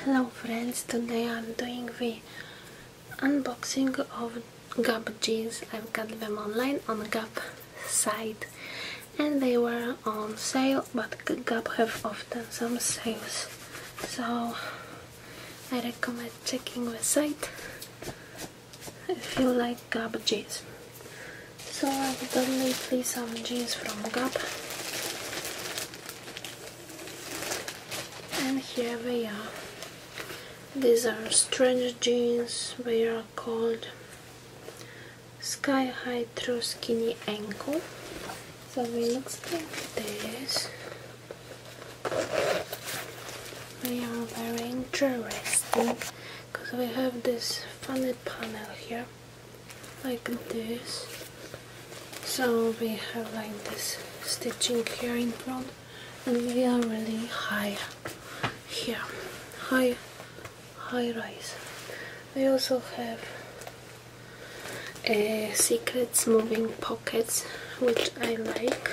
Hello friends, today I'm doing the unboxing of Gap jeans. I've got them online on Gap site and they were on sale but Gap have often some sales so I recommend checking the site I feel like Gap jeans. So I've definitely lately some jeans from Gap. And here we are. These are strange jeans, they are called sky high through skinny ankle. So they look like this. They are very interesting because we have this funny panel here like this so we have like this stitching here in front and we are really high here high high rise we also have uh, secrets moving pockets which I like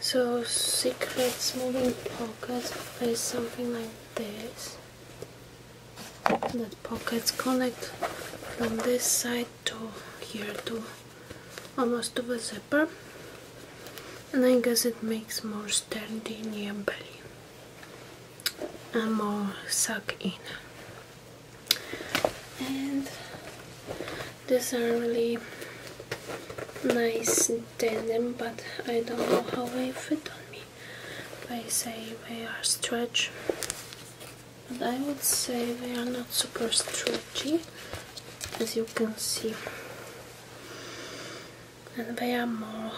so secrets moving pockets is something like this that pockets connect from this side to here to almost to the zipper and I guess it makes more sturdy near belly and more suck in and these are really nice tell them but I don't know how they fit on me they say they are stretch but I would say they are not super stretchy as you can see and they are more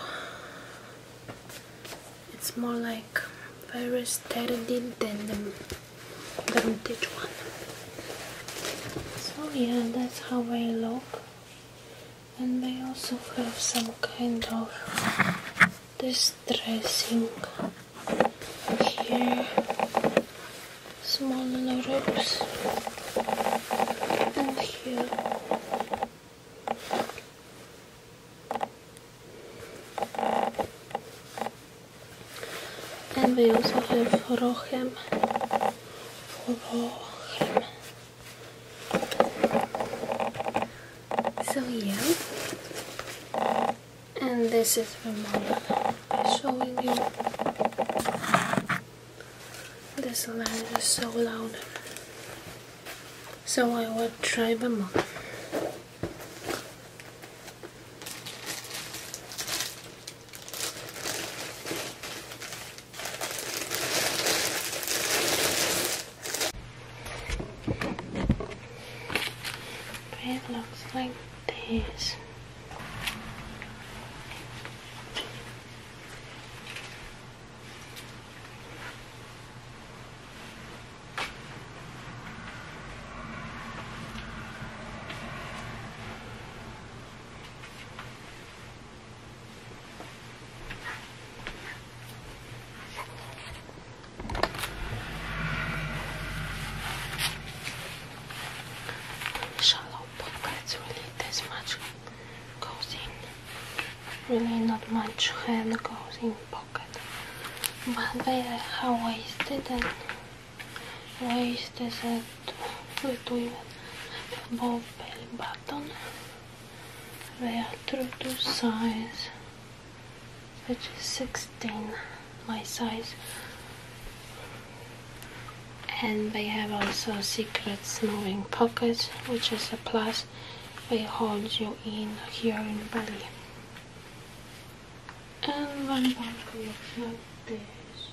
it's more like very sturdy than the vintage one so yeah that's how they look and they also have some kind of distressing here small ropes and here and they also have Rohem so yeah, and this is Ramona showing you. This light is so loud, so I will try Ramona. It looks like this. Shallow pockets, really, this much goes in. Really, not much hand goes in pocket, but they are wasted. waisted waist is at, we're doing above belly button. We are true to size, which is 16, my size. And they have also secret moving pockets, which is a plus. They hold you in here in belly. And one bag looks like this.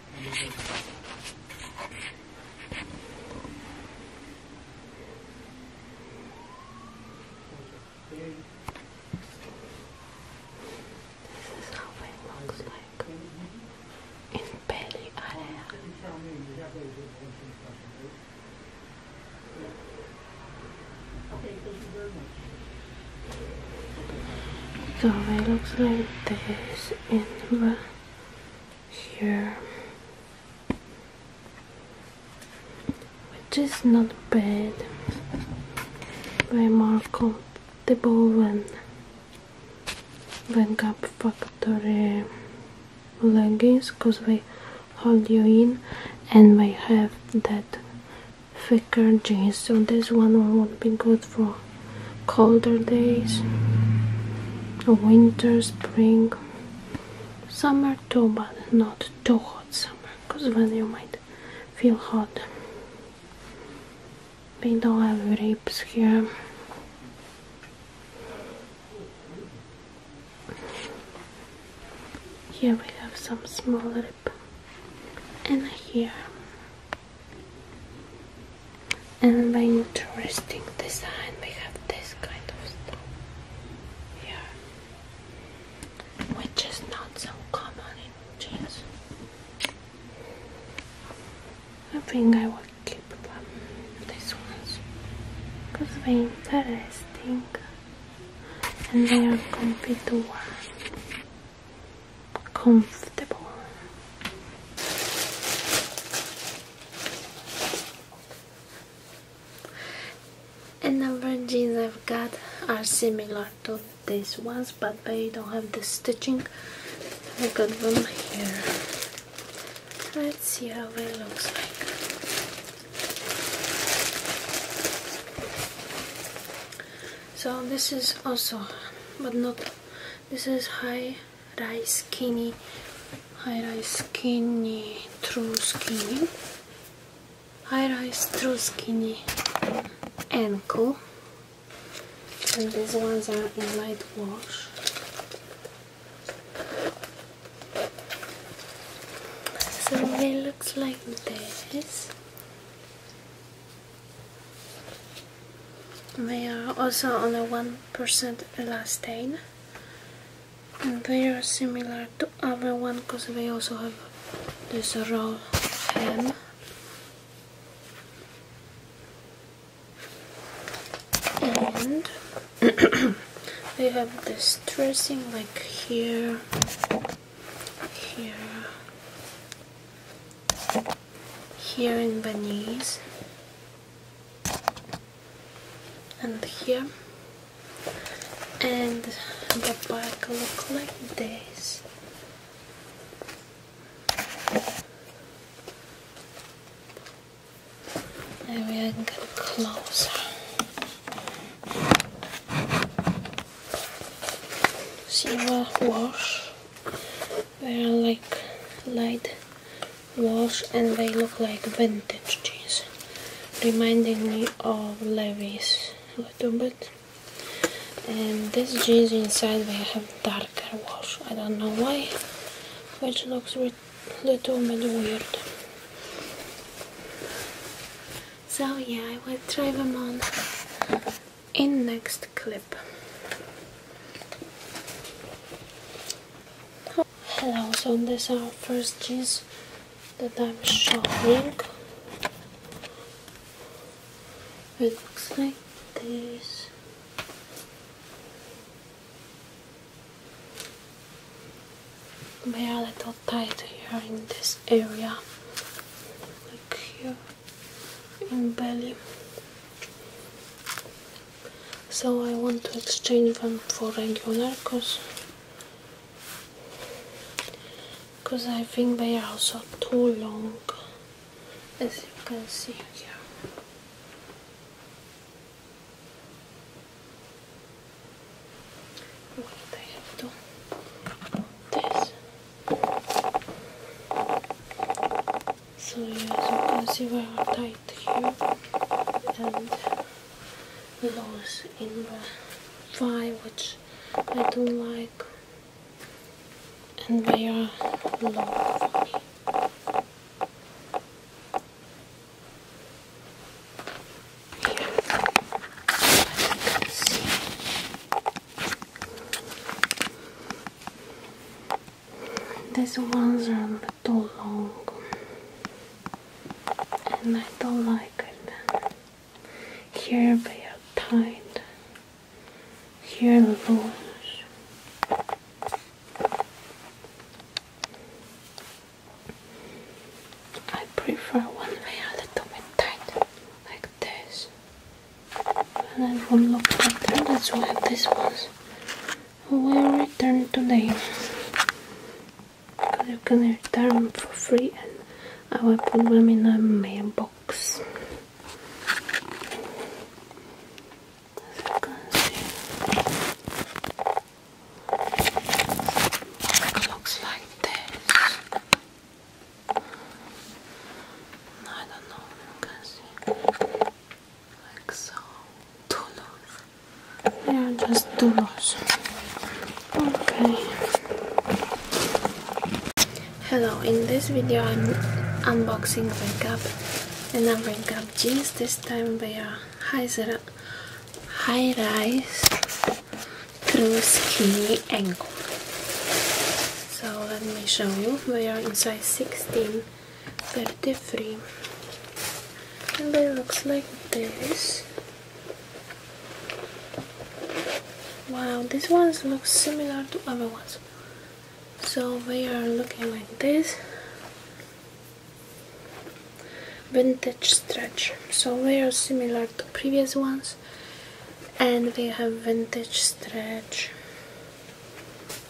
This is how it looks like in belly area. So it looks like this in the here which is not bad way more comfortable when when Gap Factory leggings because they hold you in and they have that thicker jeans so this one will be good for colder days winter, spring, summer too, but not too hot summer because then you might feel hot. We don't have ribs here. Here we have some small rip, and here and by interesting design we have this kind of stuff here, which is not so common in jeans. I think I will keep this one ones, because they're interesting and they are comfortable. to wear comfortable. And number jeans I've got are similar to these ones, but they don't have the stitching. I got one here. Let's see how it looks like. So this is also, but not this is high rise skinny, high rise skinny, true skinny, high rise true skinny ankle. And these ones are in light wash. So it looks like this. They are also only 1% elastane and they are similar to other one because they also have this roll hem and they have this dressing like here here here in Venice, and here and the back look like this Maybe I can get closer silver wash they are like light wash and they look like vintage jeans, reminding me of Levi's a little bit. And these jeans inside they have darker wash. I don't know why, which looks a little bit weird. So yeah, I will try them on in next clip. Hello, so these our first jeans that I'm showing. It looks like this. They are a little tight here in this area, like here in belly so I want to exchange them for regular cause because I think they are also too long as you can see here what I have to this so yeah, as you can see we are tight here and those in the thigh which I don't like and they are long for Here, see, these ones are a little long and I don't like it. Here they are tight, here loose. I prefer one they a little bit tight, like this and I will look better. That's why this ones will return today. Because gonna return for free, and I will put them in a mailbox. Looks like this. I don't know you can see. Like so. Doulos. Yeah, just doulos. Okay. Hello, in this video I'm unboxing Red up, and I'm Red up jeans. This time they are high, high rise through skinny Angle. So let me show you. We are in size 16, 33, and they looks like this. Wow, these ones look similar to other ones. So we are looking like this. Vintage stretch. So we are similar to previous ones and we have vintage stretch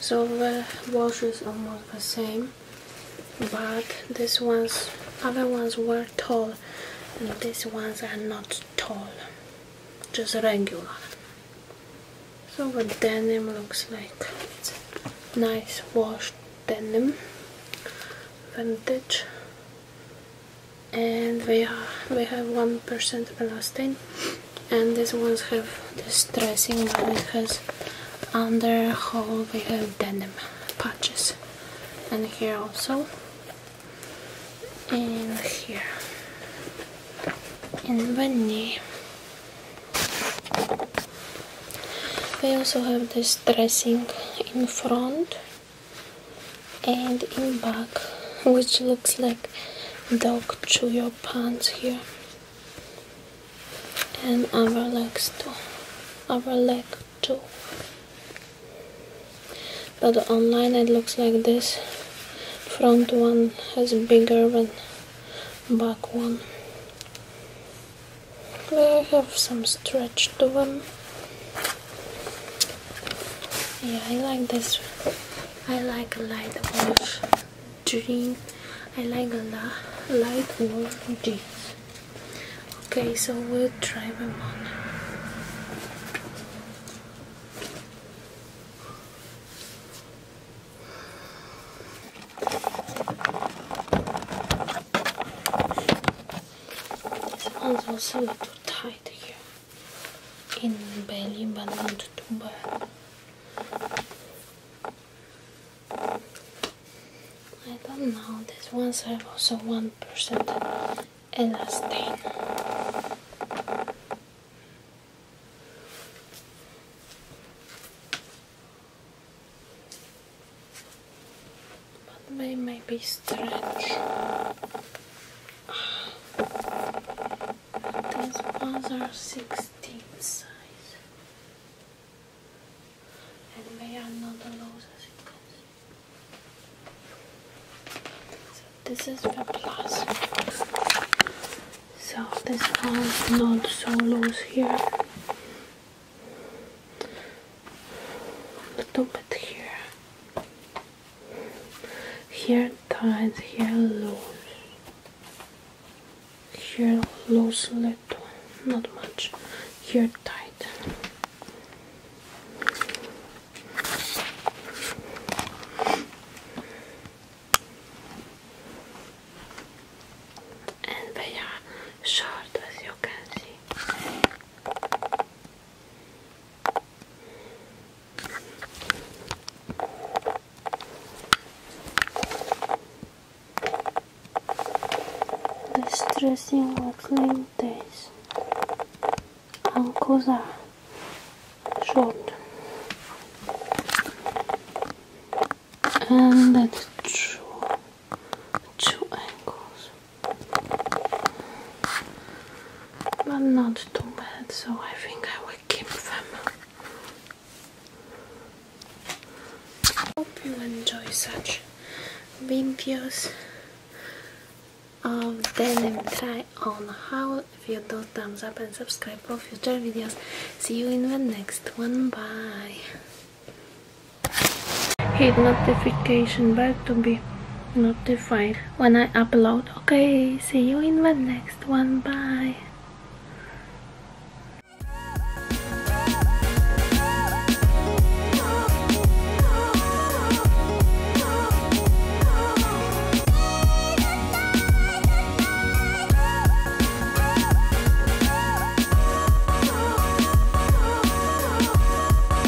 so the wash is almost the same but these one's other ones were tall and these ones are not tall just regular so the denim looks like it's nice washed denim vintage and we are, they have 1% elastin, and these ones have this dressing but it has underhole. We have denim patches and here also and here in the knee they also have this dressing in front and in back which looks like dog chew your pants here and other legs too other leg too but online it looks like this front one has bigger than back one they have some stretch to them yeah, I like this. I like light wash jeans. I like a lot light wash jeans. Okay, so we'll try them on. also a little tight here in Berlin Bad Wunderthun. I don't know, this ones have also 1% elastane. But they may be stretched. These ones are 16 size. And they are not loose as you can this is the plus. So this one is not so loose here. A little bit here. Here tight, here loose. Here loose little, not much. Here tight. And they are short as you can see. The distressing working days ankles are short and that's true two angles but not too bad, so I think I will keep them. Hope you enjoy such videos of denim try on how. If you do, thumbs up and subscribe for future videos. See you in the next one. Bye. Hit notification bell to be notified when I upload. Okay, see you in the next one. Bye.